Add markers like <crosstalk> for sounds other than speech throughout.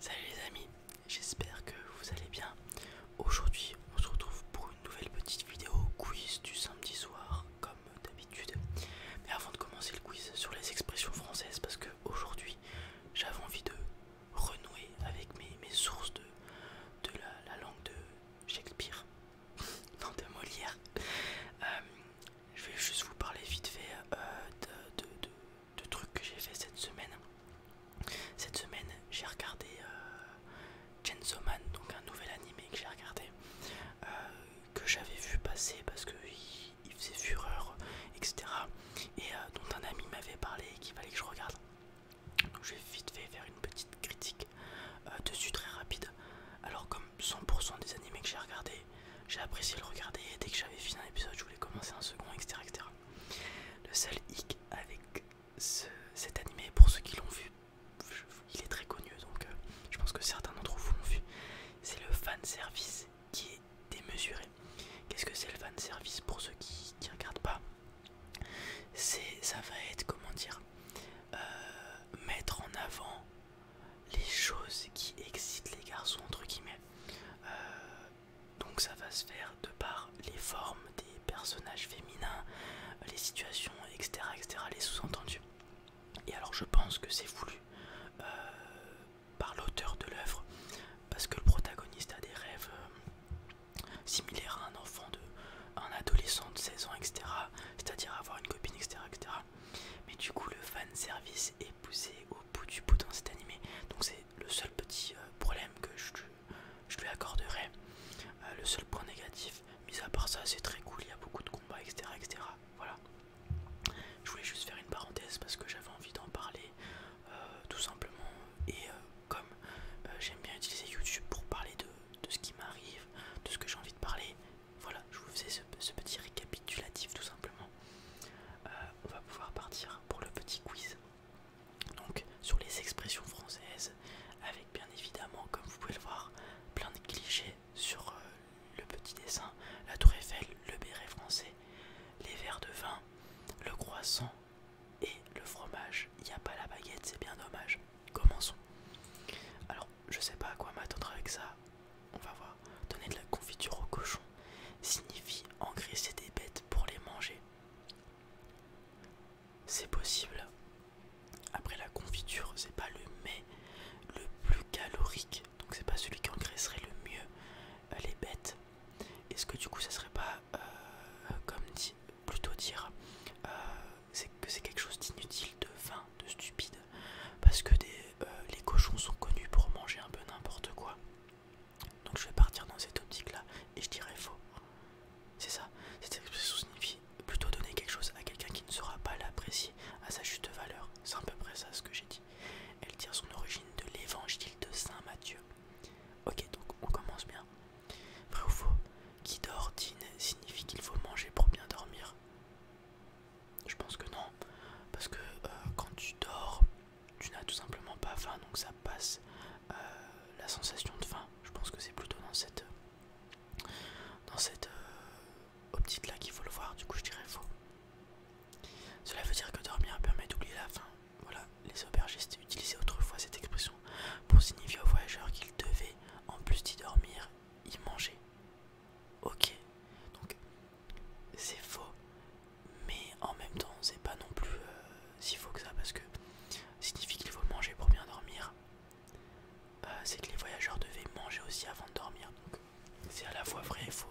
Salut les amis, j'espère que vous allez bien. Aujourd'hui on se retrouve pour une nouvelle petite vidéo quiz du samedi soir comme d'habitude. Mais avant de commencer le quiz sur les expressions françaises parce que aujourd'hui j'avais envie de renouer avec mes, sources de, la, langue de Shakespeare, <laughs> non de Molière. Euh, je vais juste vous parler vite fait euh, de, de trucs que j'ai fait cette semaine. Cette semaine, j'ai regardé Gensoman, euh, donc un nouvel animé que j'ai regardé, euh, que j'avais vu passer parce qu'il il faisait fureur, etc. Et euh, dont un ami m'avait parlé et qu'il fallait que je regarde. Donc je vite fait faire une petite critique dessus très rapide. Alors comme 100% des animés que j'ai regardé, j'ai apprécié le regarder et dès que j'avais fini un épisode, je voulais commencer un second, etc. etc. Le seul hic avec cet animé, pour ceux qui l'ont vu, il est très connu, donc euh, je pense que certains d'entre vous l'ont vu, c'est le fan service qui est démesuré. Qu'est-ce que c'est le fan service pour ceux qui ne regardent pas C'est ça va être comment dire euh, mettre en avant les choses qui excitent les garçons entre guillemets. Euh, donc ça va se faire de par les formes des personnages féminins, les situations, etc., etc., les sous-entendus. Et alors je pense que c'est voulu euh, par l'auteur de l'œuvre, parce que le protagoniste a des rêves euh, similaires à un enfant de un adolescent de 16 ans, etc. C'est-à-dire avoir une copine, etc., etc. Mais du coup le fan service est au bout du bout dans cet animé. Donc c'est le seul petit euh, problème que je, lui accorderai. Euh, le seul point négatif, mis à part ça, c'est très cool, il y a beaucoup de combats, etc. etc. Voilà. Je voulais juste faire une parenthèse parce que j'avais envie d'en parler euh, tout simplement. Et comme j'aime bien utiliser YouTube pour parler de, ce qui m'arrive, de ce que j'ai envie de parler, voilà, je vous faisais ce petit récapitulatif tout simplement. Euh, on va pouvoir partir pour le petit quiz. Donc sur les expressions françaises, avec bien évidemment, comme vous pouvez le voir, plein de clichés sur euh, le petit dessin, la tour Eiffel, le béret français, les verres de vin, le croissant et le fromage. Il n'y a pas la baguette, c'est bien dommage. Commençons. Alors je sais pas à quoi m'attendre avec ça, on va voir, donner de la confiture aux cochons signifie engraisser des bêtes pour les manger. C'est possible. Après la confiture, c'est pas le mais le plus calorique, donc c'est pas celui qui engraisserait le mieux euh, les bêtes. Est-ce que du coup ça serait pas euh, comme plutôt dire euh, que c'est quelque chose d'inutile, de vain, de stupide, parce que les cochons sont connus pour manger un peu n'importe quoi. Donc je vais partir dans cette optique-là et je dirais faux. C'est ça. Cette expression signifie plutôt donner quelque chose à quelqu'un qui ne saura pas l'apprécier à sa juste valeur. C'est à peu près ça ce que j'ai dit. Elle tire son origine de l'évangile de Saint Matthieu. Ok, donc on commence bien. Vrai ou faux Qui dort dîne signifie qu'il faut manger pour bien dormir. Je pense que non, parce que euh, quand tu dors, tu n'as tout simplement pas faim, donc ça passe euh, la sensation de faim. Je pense que c'est plutôt dans cette, euh, dans cette euh, optique là qu'il faut le voir, du coup je dirais faux. Cela veut dire que dormir permet d'oublier la faim. Voilà, les aubergistes utilisaient autrefois cette expression pour signifier aux voyageurs qu'ils devaient, en plus d'y dormir, y manger. Ok, donc c'est faux, mais en même temps, c'est pas non plus euh, si faux que ça parce que signifie qu'il faut manger pour bien dormir. Euh, c'est que les voyageurs devaient manger aussi avant de dormir, c'est à la fois vrai et faux.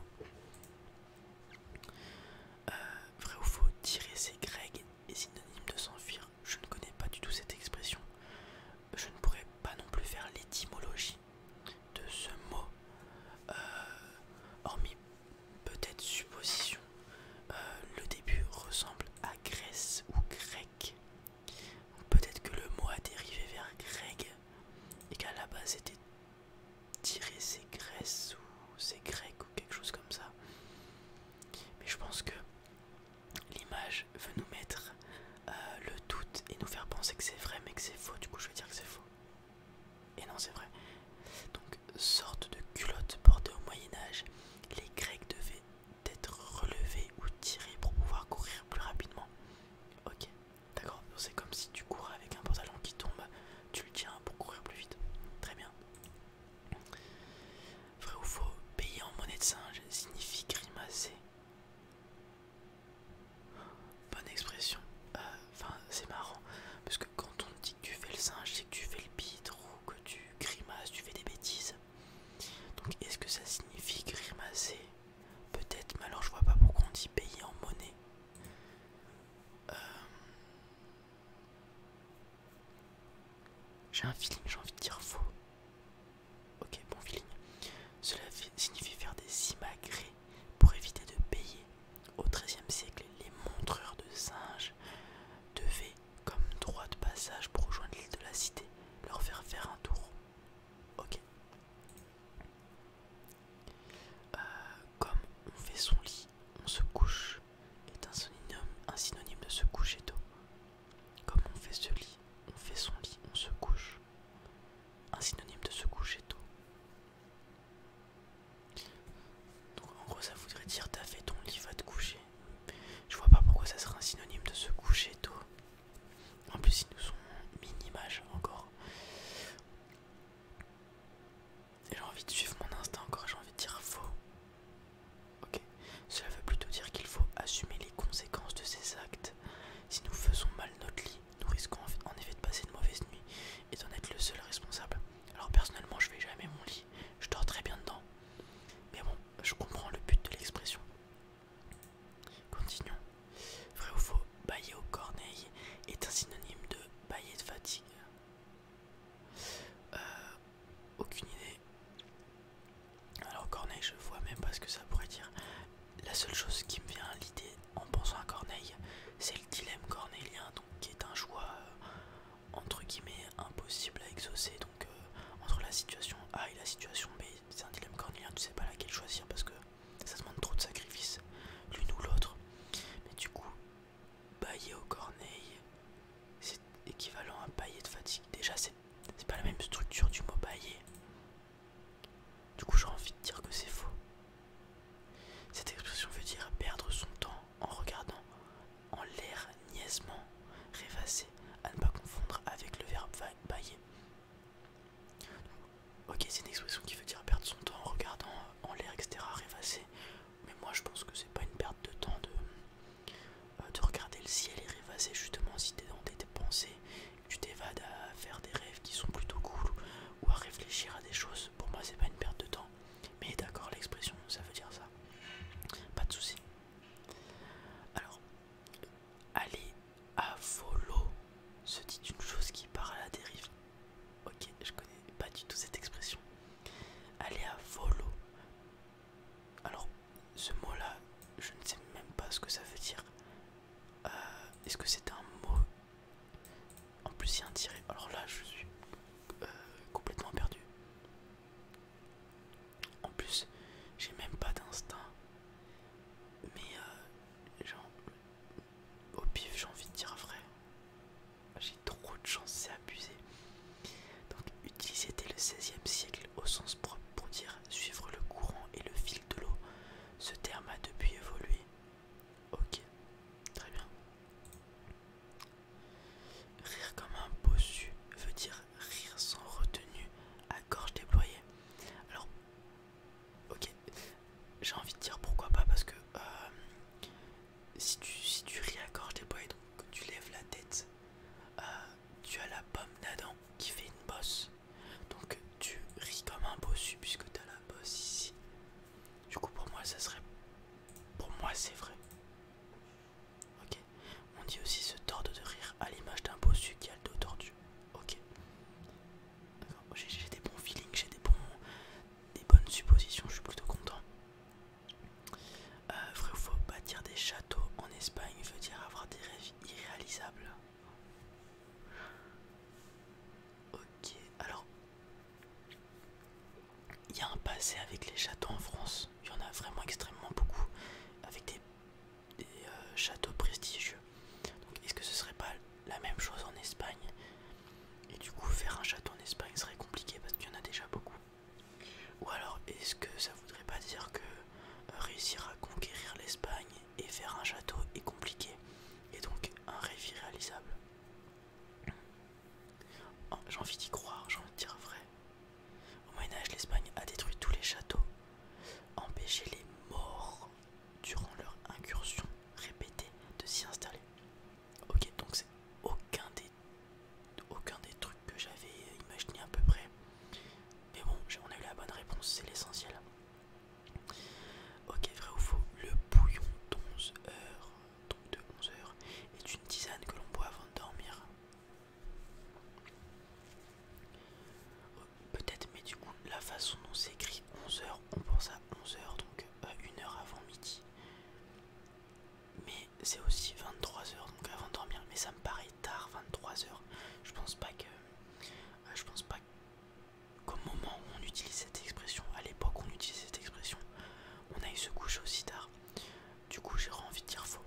Euh, vrai ou faux, tirer ses Greg est synonyme de s'enfuir. Je ne connais pas du tout cette expression. Je ne pourrais pas non plus faire l'étymologie de ce mot, euh, hormis peut-être supposition, euh, le début ressemble à Grèce ou grec. Peut-être que le mot a dérivé vers grec et qu'à la base c'était tiré c'est Grèce ou c'est grec ou quelque chose comme ça. Mais je pense que l'image veut nous mettre euh, le doute et nous faire penser que c'est vrai mais que c'est faux. Du coup, je vais dire que c'est faux. Et non, c'est vrai. Donc, sorte de culotte portée au Moyen-Âge, les Grecs devaient être relevés ou tirés pour pouvoir courir plus rapidement. Ok, d'accord, c'est comme si tu cours avec un pantalon qui tombe, tu le tiens pour courir plus vite. Très bien. Vrai ou faux, payer en monnaie de singe signifie grimacer bonne expression. Euh, enfin, c'est marrant parce que quand on dit que tu fais le singe, c'est que tu fais le pitre ou que tu grimaces, tu fais des bêtises. Donc, est-ce que ça signifie grimacer Peut-être, mais alors je vois pas pourquoi on dit payer en monnaie. Euh, j'ai un feeling, j'ai envie de dire faux. Ok, bon feeling. Cela signifie faire des immagrés pour éviter de payer. Au XIIIe siècle, les montreurs de singes devaient, comme droit de passage pour rejoindre l'île de la Cité, leur faire faire un tour. Ok. Euh, comme on fait son lit, on se couche est un synonyme, un synonyme de se coucher d'eau. Comme on fait ce lit, on fait son lit, on se couche. Un synonyme de se coucher d'eau. Donc en gros ça voudrait dire t'as fait ton lit, va te coucher. Je vois pas pourquoi ça serait un synonyme de se coucher tôt. En plus ils nous sont mini-images encore. J'ai envie de suivre mon instinct encore, j'ai envie de dire faux. Ok, cela veut plutôt dire qu'il faut assumer les conséquences de ses actes. Si nous faisons mal notre lit, nous risquons en effet de passer une mauvaise nuit et d'en être le seul responsable. Alors personnellement, je vais jamais mon lit, je dors très bien dedans. Mais bon, je comprends le but de l'expression. Continuons. Vrai ou faux, bailler au corneille est un synonyme de bailler de fatigue. Euh, aucune idée. Alors corneille, je vois même pas ce que ça pourrait dire. La seule chose qui me vient à l'idée en pensant à Corneille, c'est le dilemme cornélien, donc, qui est un choix euh, entre guillemets impossible à exaucer. Donc, euh, entre la situation A et la situation B, c'est un dilemme cornélien, tu sais pas laquelle choisir parce que ça demande trop de sacrifices, l'une ou l'autre. Mais du coup, bailler au Corneille, c'est équivalent à bailler de fatigue. Déjà, c'est pas la même structure du mot bailler. Du coup, j'ai envie de dire que c'est faux. Cette expression veut dire perdre son temps en regardant en l'air niaisement, rêvasser, à ne pas confondre avec le verbe bailler. Ok, c'est une expression qui veut dire perdre son temps en regardant en l'air, etc., rêvasser. Mais moi, je pense que c'est pas une perte de temps de, euh, regarder le ciel et rêvasser. Justement, si t'es dans tes pensées, tu t'évades à faire des rêves qui sont plutôt cool ou à réfléchir à des choses, pour moi c'est pas une perte de temps. Mais d'accord, l'expression ça veut dire ça. Pas de souci. Alors, aller à volo se dit une chose qui part à la dérive. Ok, je connais pas du tout cette expression. Aller à volo. Alors, ce mot-là, je ne sais même pas ce que ça veut dire. Euh, est-ce que c'est un mot en plus, il y a un tiré. Alors là, je suis euh, complètement perdu. En plus, j'ai même pas d'instinct. Mais, euh, genre, au pif, j'ai envie de dire vrai. J'ai trop de chance, c'est abusé. Donc, utiliser dès le 16e siècle au sens propre pour dire suivre le courant et le fil de l'eau, ce terme a depuis évolué Ok, très bien. Rire comme un bossu veut dire rire sans retenue, à gorge déployée. Alors, ok, j'ai envie de dire pourquoi pas parce que euh, si, tu, ris à gorge déployée, donc que tu lèves la tête, euh, tu as la pomme d'Adam qui fait une bosse. Donc tu ris comme un bossu puisque tu as la bosse ici du coup, pour moi, ça serait. Pour moi, c'est vrai. Ok. On dit aussi se tordre de rire à l'image d'un bossu qui a le dos tordu. Ok. J'ai des bons feelings, j'ai des, des bonnes suppositions, je suis plutôt content. Euh, faut ou bâtir des châteaux en Espagne veut dire avoir des rêves irréalisables. Ok, alors il y a un passé avec les châteaux en France, il y en a vraiment extrêmement beaucoup, avec des, euh, châteaux prestigieux. Donc est-ce que ce serait pas la même chose en Espagne Et du coup faire un château en Espagne serait compliqué parce qu'il y en a déjà beaucoup. Ou alors est-ce que ça voudrait pas dire que euh, réussir à conquérir l'Espagne et faire un château est compliqué et donc un rêve irréalisable Oh, j'ai envie d'y croire, j'ai envie de dire vrai. Au Moyen-Âge, l'Espagne a détruit tous les châteaux, empêché les morts durant leur incursion répétée de s'y installer. Ok, donc c'est aucun des, aucun des trucs que j'avais imaginé à peu près. Mais bon, on a eu la bonne réponse, c'est l'essentiel. Ok, vrai ou faux, le bouillon d'11 heures donc de 11 heures, est une tisane que l'on boit avant de dormir. Euh, peut-être, mais du coup, la façon dont c'est écrit 11h, on pense à 11h, donc à euh, une heure avant midi. Mais c'est aussi 23h, donc avant de dormir. Mais ça me paraît tard, 23h. Je pense pas que. Euh, je pense pas comme moment où on utilise cette expression, à l'époque on utilise cette expression, on a eu ce coucher aussi tard. Du coup j'ai envie de dire faux.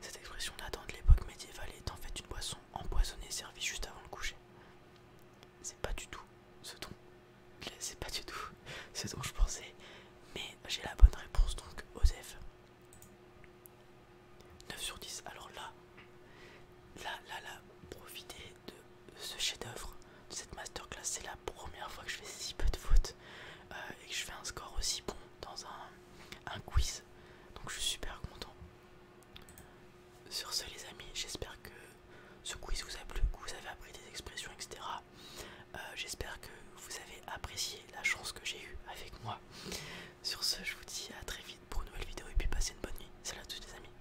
Cette expression là de l'époque médiévale est en fait une boisson empoisonnée servie juste avant le coucher. C'est pas du tout ce dont <laughs> c'est pas du tout ce dont je pensais, mais j'ai la bonne réponse donc Osef. 9 sur 10. Alors là, là, là, là, profitez de ce chef d'oeuvre de cette masterclass. C'est la première fois que je fais si peu de fautes euh, et que je fais un score aussi bon dans un, quiz. Donc je suis super content. Sur ce, les amis, j'espère que ce quiz vous a plu, que vous avez appris des expressions, etc. Euh, j'espère que vous avez apprécié la chance que j'ai eue avec moi. Sur ce, je vous dis à très vite pour une nouvelle vidéo et puis passez une bonne nuit. Salut à tous les amis.